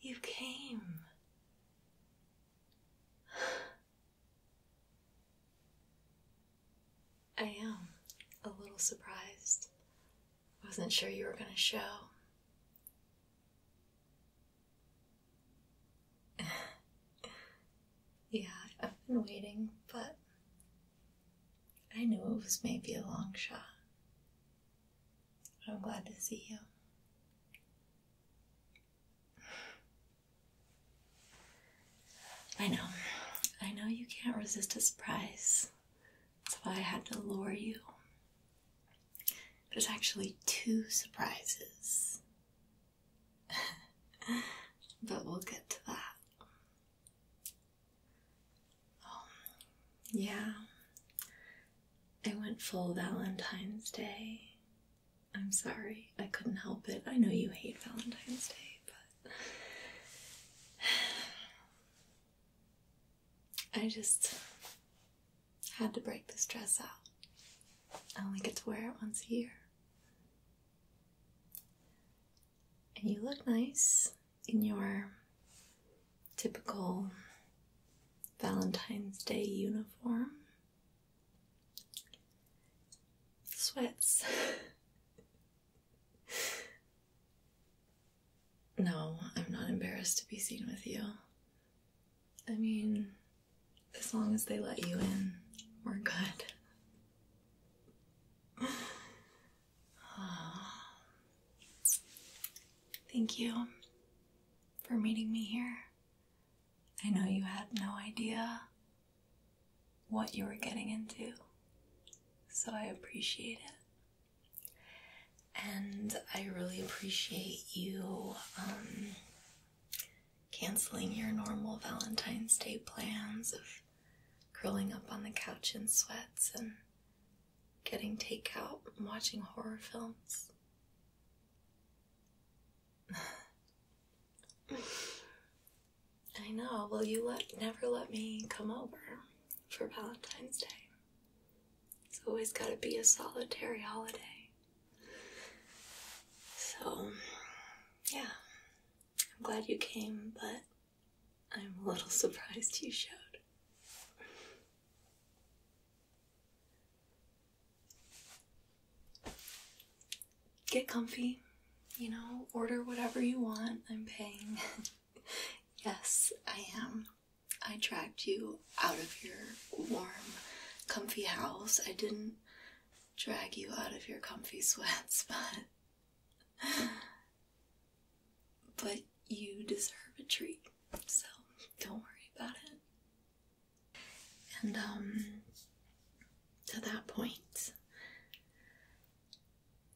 You came. I am a little surprised. I Wasn't sure you were going to show. Yeah, I've been waiting, but I knew it was maybe a long shot. I'm glad to see you. I know. I know you can't resist a surprise. That's why I had to lure you. There's actually two surprises. but we'll get to that. Um, yeah, I went full Valentine's Day. I'm sorry, I couldn't help it. I know you hate Valentine's Day, but. I just had to break this dress out. I only get to wear it once a year. And you look nice in your typical Valentine's Day uniform. Sweats. no, I'm not embarrassed to be seen with you. I mean, as long as they let you in, we're good. Thank you for meeting me here. I know you had no idea what you were getting into, so I appreciate it. And I really appreciate you um, canceling your normal Valentine's Day plans of curling up on the couch in sweats and getting takeout and watching horror films. I know. Well, you let never let me come over for Valentine's Day. It's always got to be a solitary holiday. So, yeah, I'm glad you came, but I'm a little surprised you showed. Get comfy, you know, order whatever you want. I'm paying. yes, I am. I dragged you out of your warm, comfy house. I didn't drag you out of your comfy sweat spot, but you deserve a treat, so don't worry about it. And um to that point,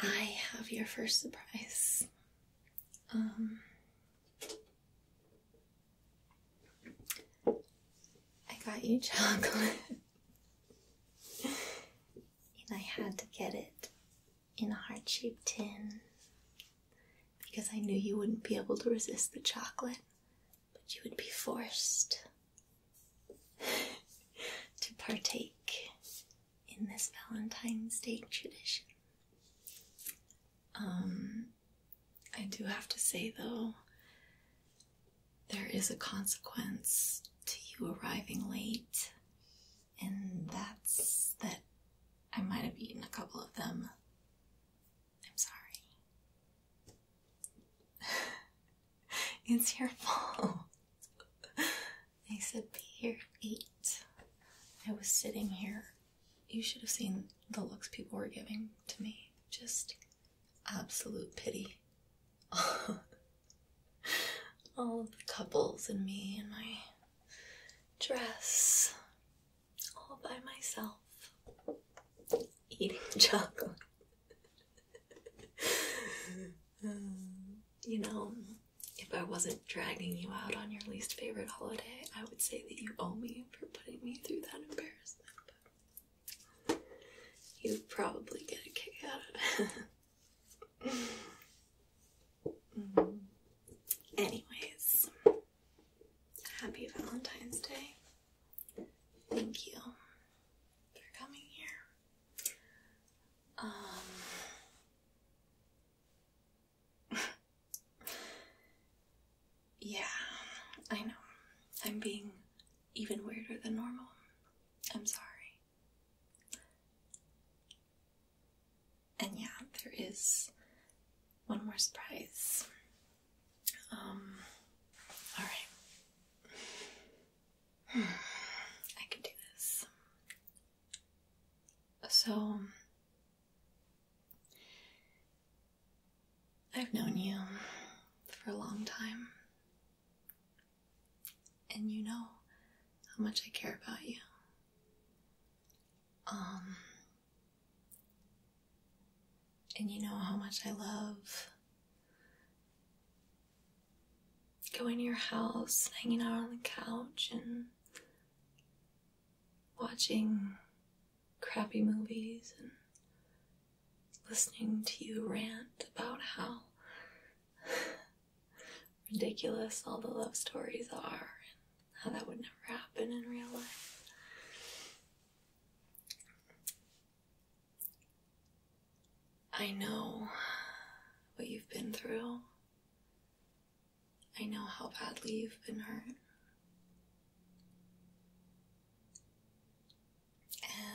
I have your first surprise. Um I got you chocolate. and I had to get it in a heart shaped tin because I knew you wouldn't be able to resist the chocolate, but you would be forced to partake in this Valentine's Day tradition. Um, I do have to say though, there is a consequence to you arriving late, and that's that I might have eaten a couple of them. I'm sorry. it's your fault. I said be here eight. I was sitting here. You should have seen the looks people were giving to me. Just absolute pity. All of the couples and me and my dress, all by myself, eating chocolate. you know, if I wasn't dragging you out on your least favorite holiday, I would say that you owe me for putting me through that embarrassment. You probably get a kick out of it. Anyways, happy Valentine's Day. Thank you for coming here. Um, Yeah, I know. I'm being even weirder than normal. I'm sorry. And yeah, there is one more surprise. Um, alright. I can do this. So, I've known you for a long time. And you know how much I care about you. Um, and you know how much I love going to your house, hanging out on the couch, and watching crappy movies and listening to you rant about how ridiculous all the love stories are and how that would never happen in real life. I know what you've been through. I know how badly you've been hurt.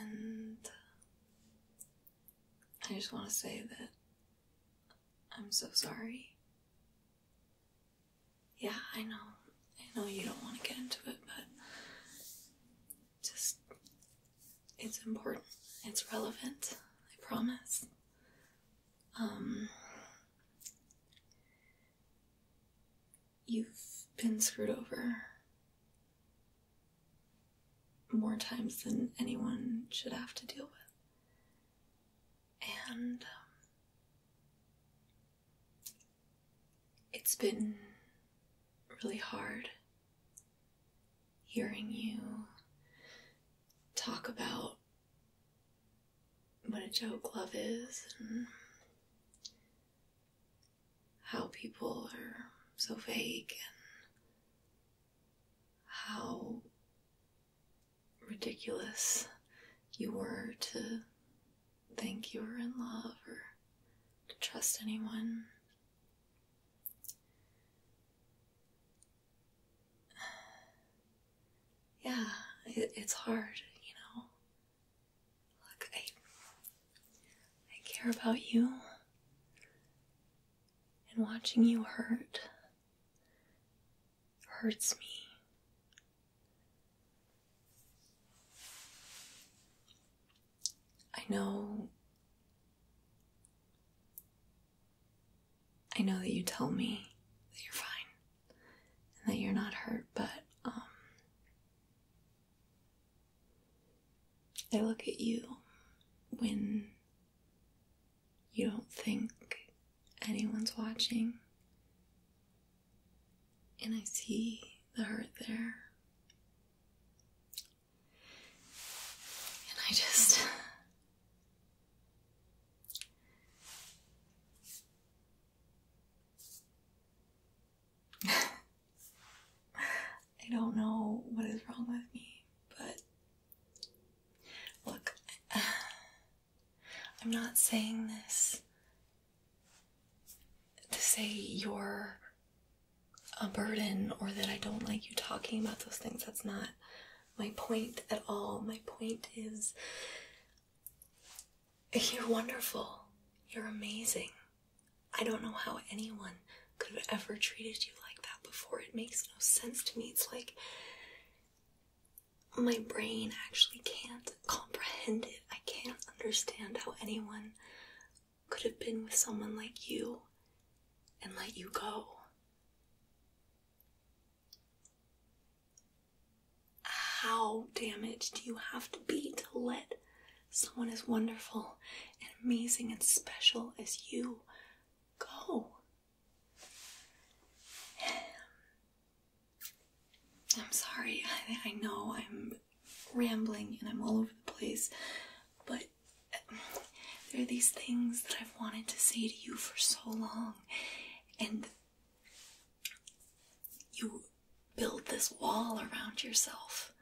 And I just want to say that I'm so sorry. Yeah, I know. I know you don't want to get into it, but just it's important. It's relevant. I promise. Um You've been screwed over. More times than anyone should have to deal with. And um, it's been really hard hearing you talk about what a joke love is and how people are so vague, and how ridiculous you were to think you were in love or to trust anyone yeah, it's hard, you know. Look, I I care about you, and watching you hurt hurts me. I know. I know that you tell me that you're fine and that you're not hurt, but um, they look at you when you don't think anyone's watching. And I see the hurt there. And I just I don't know what is wrong with me, but look, I'm not saying this to say you're a burden or that I don't like you talking about those things. That's not my point at all. My point is you're wonderful. You're amazing. I don't know how anyone could have ever treated you like that before. It makes no sense to me. It's like my brain actually can't comprehend it. I can't understand how anyone could have been with someone like you and let you go. How damaged do you have to be to let someone as wonderful and amazing and special as you go? I'm sorry, I, I know I'm rambling and I'm all over the place, but there are these things that I've wanted to say to you for so long and you build this wall around yourself,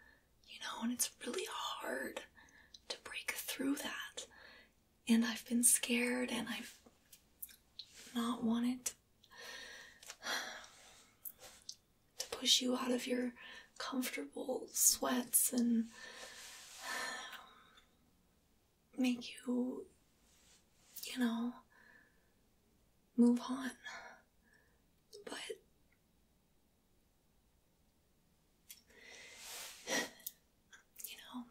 you know, and it's really hard to break through that. And I've been scared and I've not wanted to push you out of your comfortable sweats and make you, you know, move on. But you know,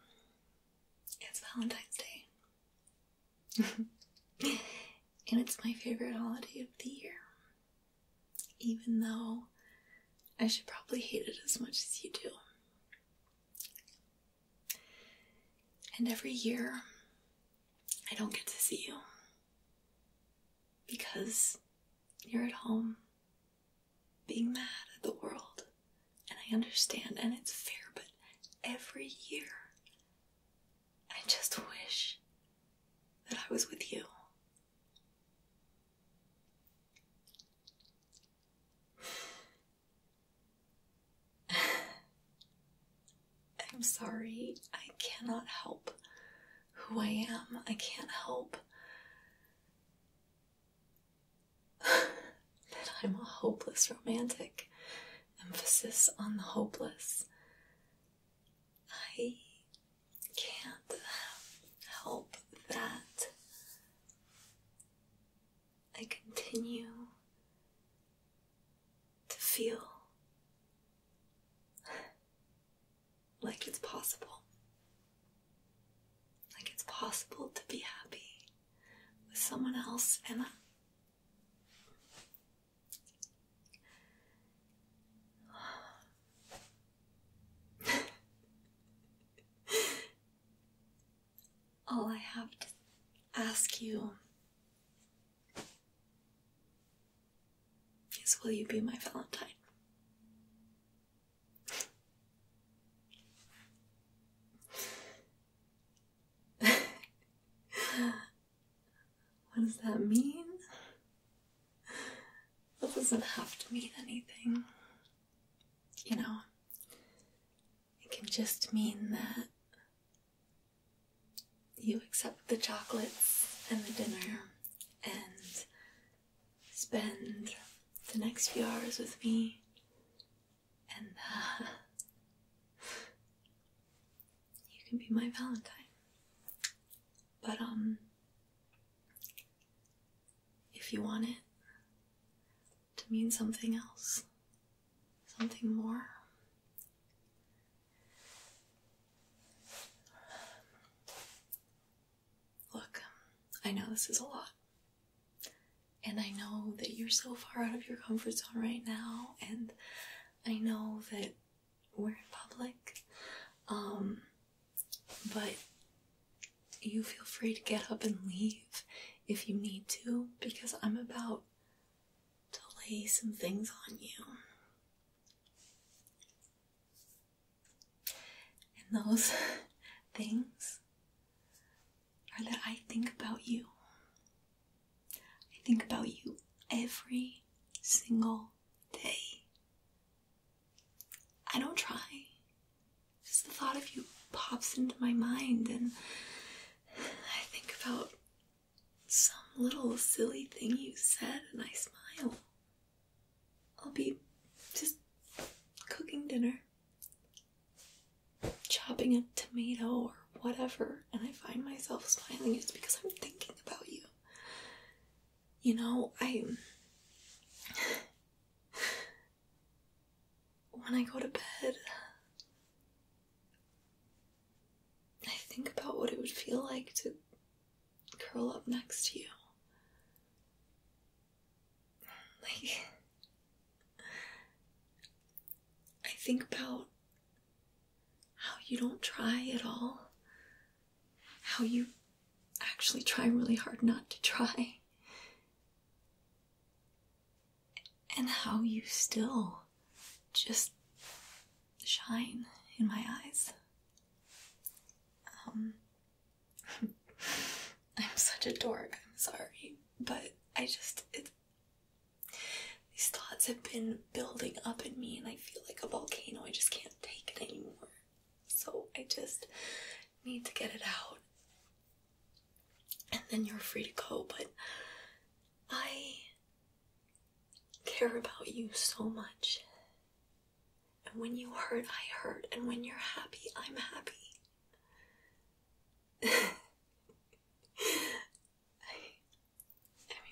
it's Valentine's Day. and it's my favorite holiday of the year. Even though I should probably hate it as much as you do. And every year, I don't get to see you because you're at home being mad at the world. And I understand, and it's fair, but every year, I just wish that I was with you. I'm sorry, I cannot help who I am. I can't help that I'm a hopeless romantic. Emphasis on the hopeless. I can't help that I continue to feel like it's possible. Like it's possible to be happy with someone else, and All I have to ask you is will you be my Valentine? what does that mean? That doesn't have to mean anything. You know, it can just mean that you accept the chocolates and the dinner and spend the next few hours with me and uh, you can be my valentine but um if you want it to mean something else, something more. Look, I know this is a lot. And I know that you're so far out of your comfort zone right now, and I know that we're in public. Um, but you feel free to get up and leave if you need to, because I'm about to lay some things on you. And those things are that I think about you. I think about you every single day. I don't try. Just the thought of you pops into my mind, and I think about some little silly thing you said, and I smile. I'll be just cooking dinner, chopping a tomato or whatever, and I find myself smiling. It's because I'm thinking about you. You know, I. When I go to bed, I think about what it would feel like to curl up next to you. Like, I think about how you don't try at all how you actually try really hard not to try. And how you still just shine in my eyes. Um, I'm such a dork, I'm sorry, but I just, these thoughts have been building up in me and I feel like a volcano, I just can't take it anymore. So I just need to get it out. And then you're free to go, but I care about you so much. And when you hurt, I hurt. And when you're happy, I'm happy. I,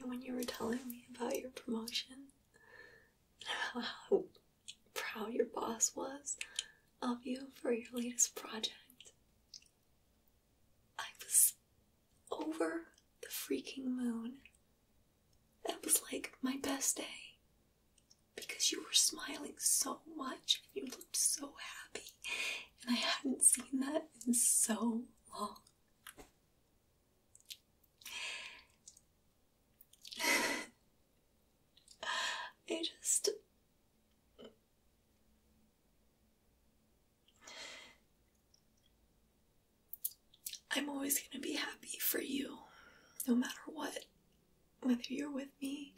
mean, when you were telling me about your promotion, how proud your boss was of you for your latest project. I was over the freaking moon. That was like my best day because you were smiling so much and you looked so happy, and I hadn't seen that in so long. I just. I'm always going to be happy for you, no matter what. Whether you're with me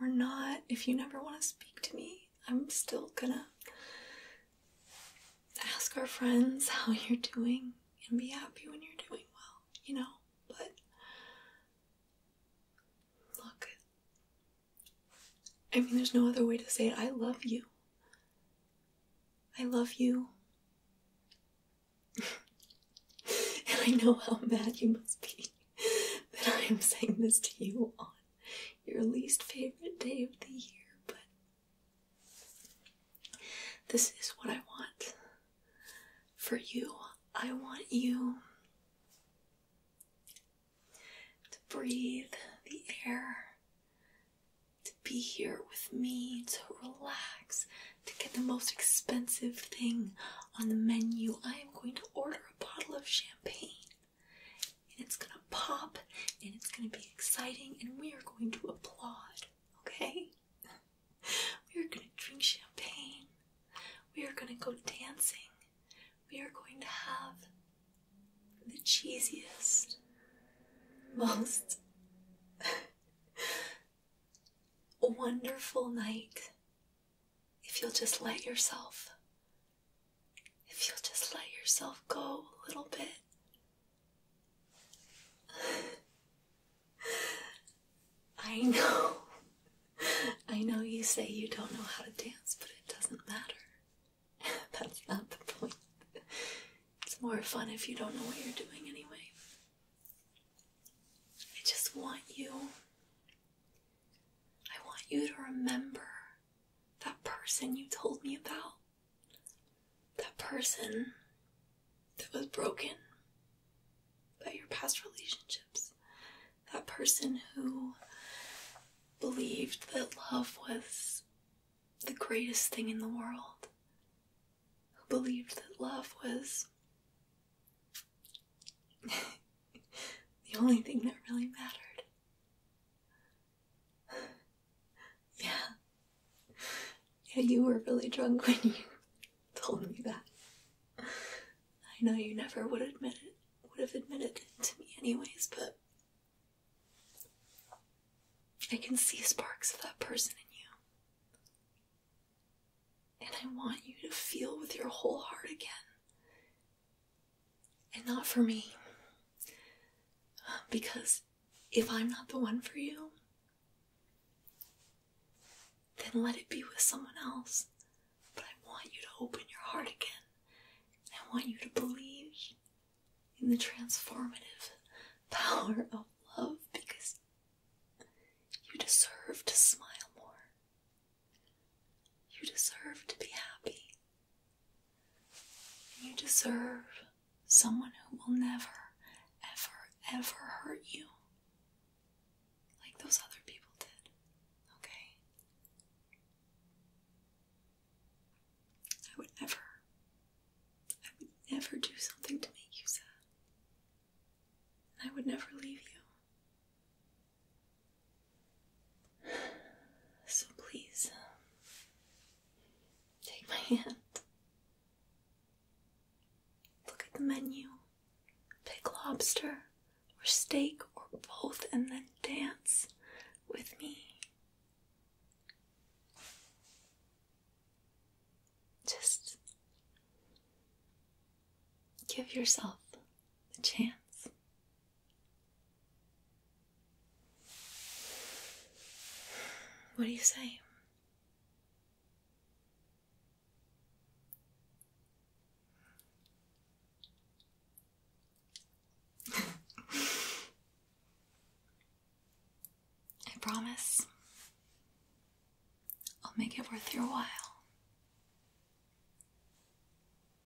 or not, if you never want to speak to me, I'm still gonna ask our friends how you're doing and be happy when you're doing well, you know? But look, I mean, there's no other way to say it. I love you. I love you. and I know how mad you must be that I am saying this to you on your least favorite day of the year, but this is what I want for you. I want you to breathe the air, to be here with me, to relax, to get the most expensive thing on the menu. I am going to order a bottle of champagne and it's gonna pop and it's gonna be exciting and we are going to applaud, okay? we are gonna drink champagne, we are gonna go dancing, we are going to have the cheesiest, most wonderful night if you'll just let yourself if you'll just let yourself go a little bit I know. I know you say you don't know how to dance, but it doesn't matter. That's not the point. It's more fun if you don't know what you're doing anyway. I just want you. I want you to remember that person you told me about that person that was broken by your past relationships, that person who believed that love was the greatest thing in the world, who believed that love was the only thing that really mattered. yeah. Yeah, you were really drunk when you told me that. I know you never would admit it would have admitted it to me anyways, but I can see sparks of that person in you. And I want you to feel with your whole heart again and not for me. because if I'm not the one for you, then let it be with someone else. But I want you to open your heart again. I want you to believe in the transformative power of love because you deserve to smile more. You deserve to be happy. You deserve someone who will never, ever, ever hurt you like those other people did. Okay? I would never, I would never do something to make you sad. I would never leave you. So please, um, take my hand. Look at the menu. Pick lobster or steak or both, and then dance with me. Just give yourself a chance what do you say? I promise I'll make it worth your while.